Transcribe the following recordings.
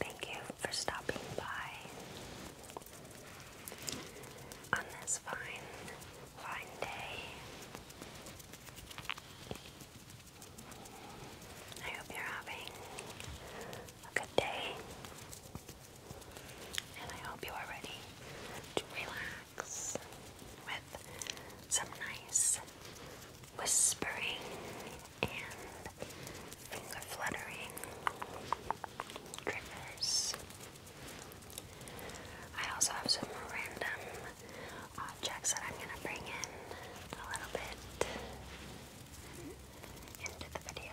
Thank you for stopping by on this fine, fine day. I hope you're having a good day. And I hope you are ready to relax with some nice whispering and finger fluttering triggers. I also have some random objects that I'm going to bring in a little bit into the video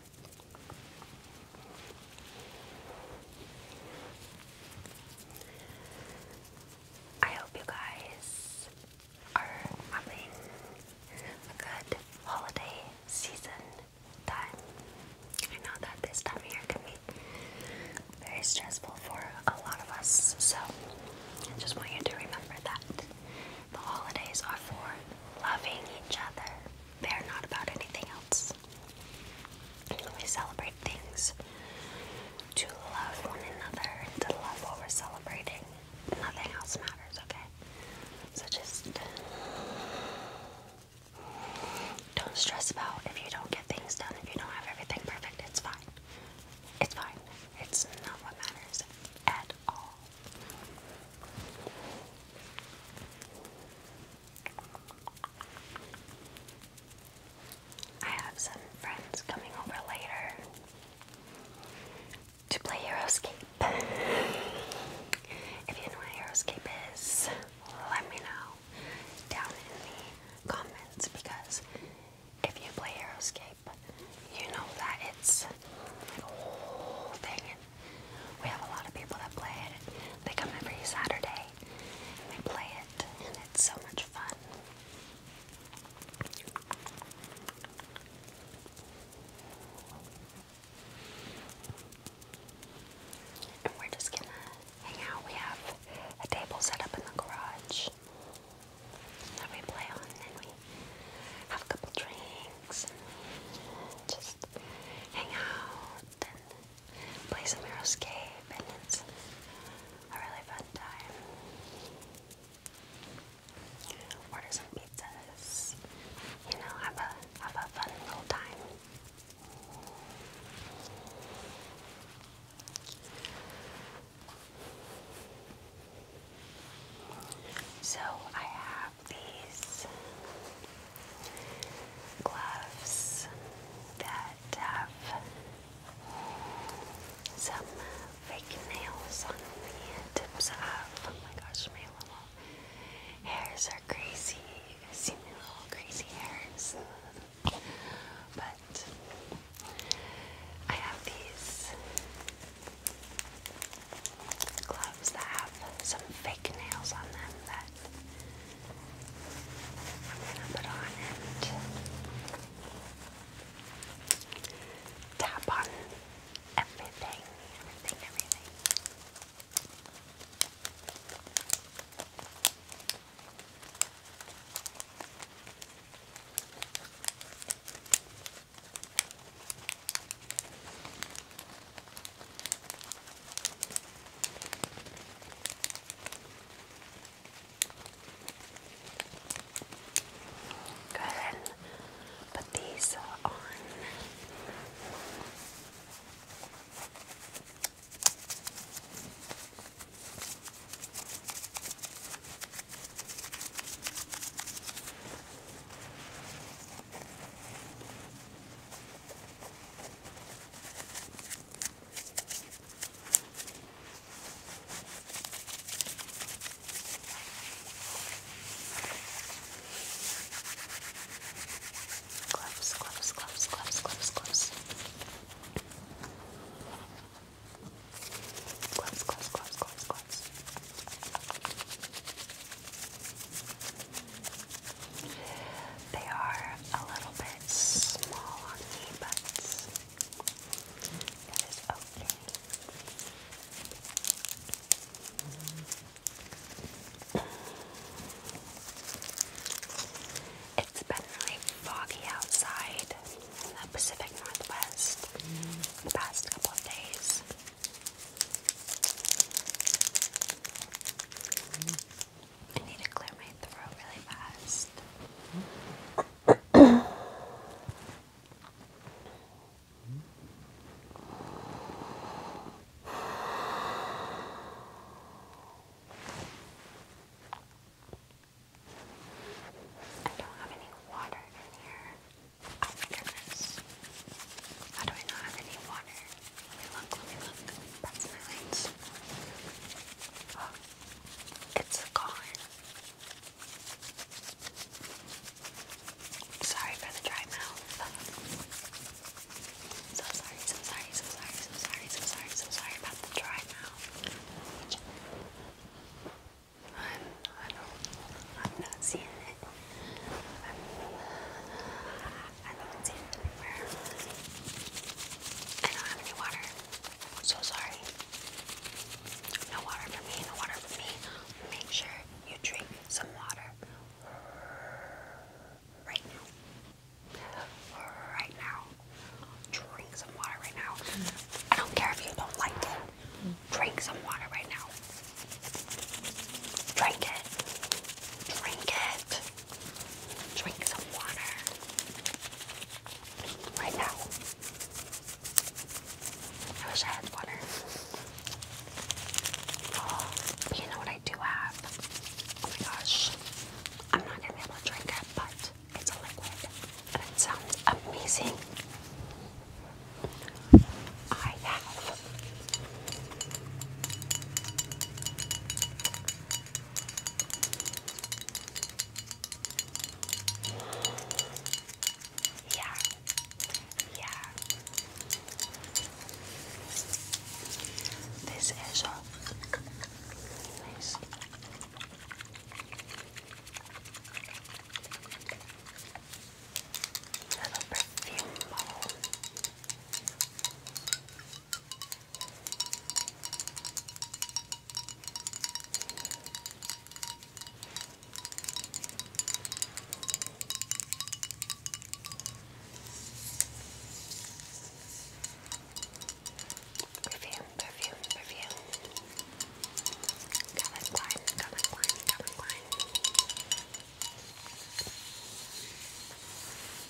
I hope you guys are having a good holiday season I know that this time of year can be very stressful for a lot of us, so I just want you to remember that the holidays are for loving each other. They're not about anything else. We celebrate things to love one another and to love what we're celebrating. Nothing else matters, okay? So just don't stress about if you don't get things done, if you don't have everything perfect, it's fine. It's fine. It's not what matters at all. I have some friends coming over later to play Euroscape. if you know what Euroscape is, let me know down in the comments because if you play Euroscape, you know that it's like a whole we have a lot of people that play it. They come every Saturday and they play it, and it's so much fun. And we're just gonna hang out. We have a table set up in the garage that we play on, and we have a couple drinks and just hang out and play some Aeroscape, and it's a really fun time. Order some pizzas, you know, have a have a fun little time. So I have these gloves that have some fake nails on the tips of. Oh my gosh, my little hairs are crazy. You guys see my little crazy hairs. But I have these gloves that have some fake fake nails on them that I'm going to put on and tap on everything, everything, everything. Go ahead and put these on. Gloves, gloves, gloves, gloves, gloves, gloves. Gloves, gloves, gloves, gloves, gloves. They are a little bit small on me, but that is okay. It's been really foggy outside in the Pacific Northwest the past couple of days. I need to clear my throat really fast. I don't have any water in here. Oh my goodness. How do I not have any water? look, let me look. That's my lights. it's gone. Sorry for the dry mouth. So sorry, so sorry, so sorry, so sorry, so sorry, so sorry about the dry mouth. I'm, I don't, i am not seeing it. I haven't seen it anywhere. I don't have any water. I'm so sorry. No water for me, no water for me. Make sure you drink some water right now. Right now. Drink some water right now. I don't care if you don't like it. Drink some water right now. Drink it. Drink it drink some water right now. I wish I had water. Oh, you know what I do have? Oh my gosh. I'm not gonna be able to drink it, but it's a liquid and it sounds amazing. I have yeah. Yeah. This is a Little perfume bottle. Perfume, perfume, perfume. Calvin Klein, Calvin Klein, Calvin Klein.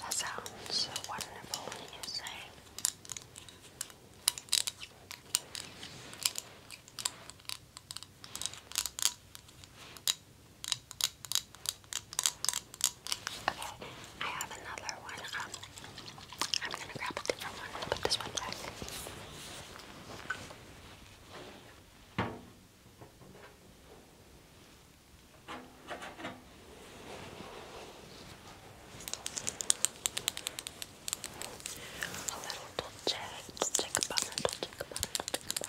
That sounds wonderful when you say Okay, I have another one. Um, I'm gonna grab a different one and put this one back. A little dolce, check a dolce dolce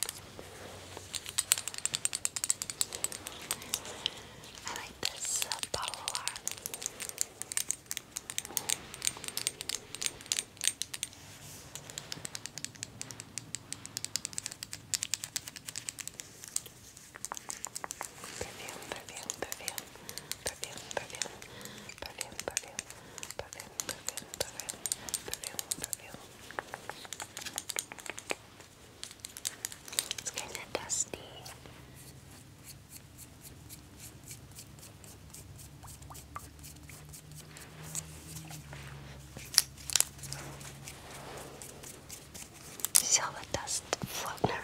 I like this uh, bottle a lot. Perfume, perfume, perfume, perfume, perfume, perfume, perfume, perfume, perfume, perfume, perfume, perfume. It's kind of dusty. You see all the dust floating around?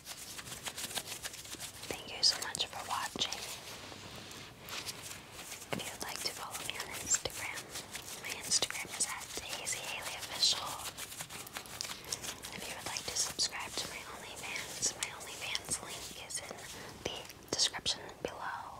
Thank you so much for watching. If you'd like to follow me on Instagram, my Instagram is at Daisy Haley Official. If you would like to subscribe to my OnlyFans, my OnlyFans link is in the description below.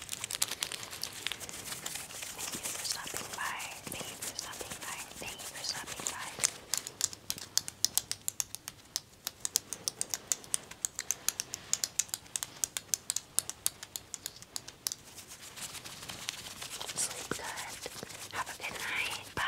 Thank you for stopping by. Thank you for stopping by. Thank you for stopping by. Sleep good. Have a good night. Bye.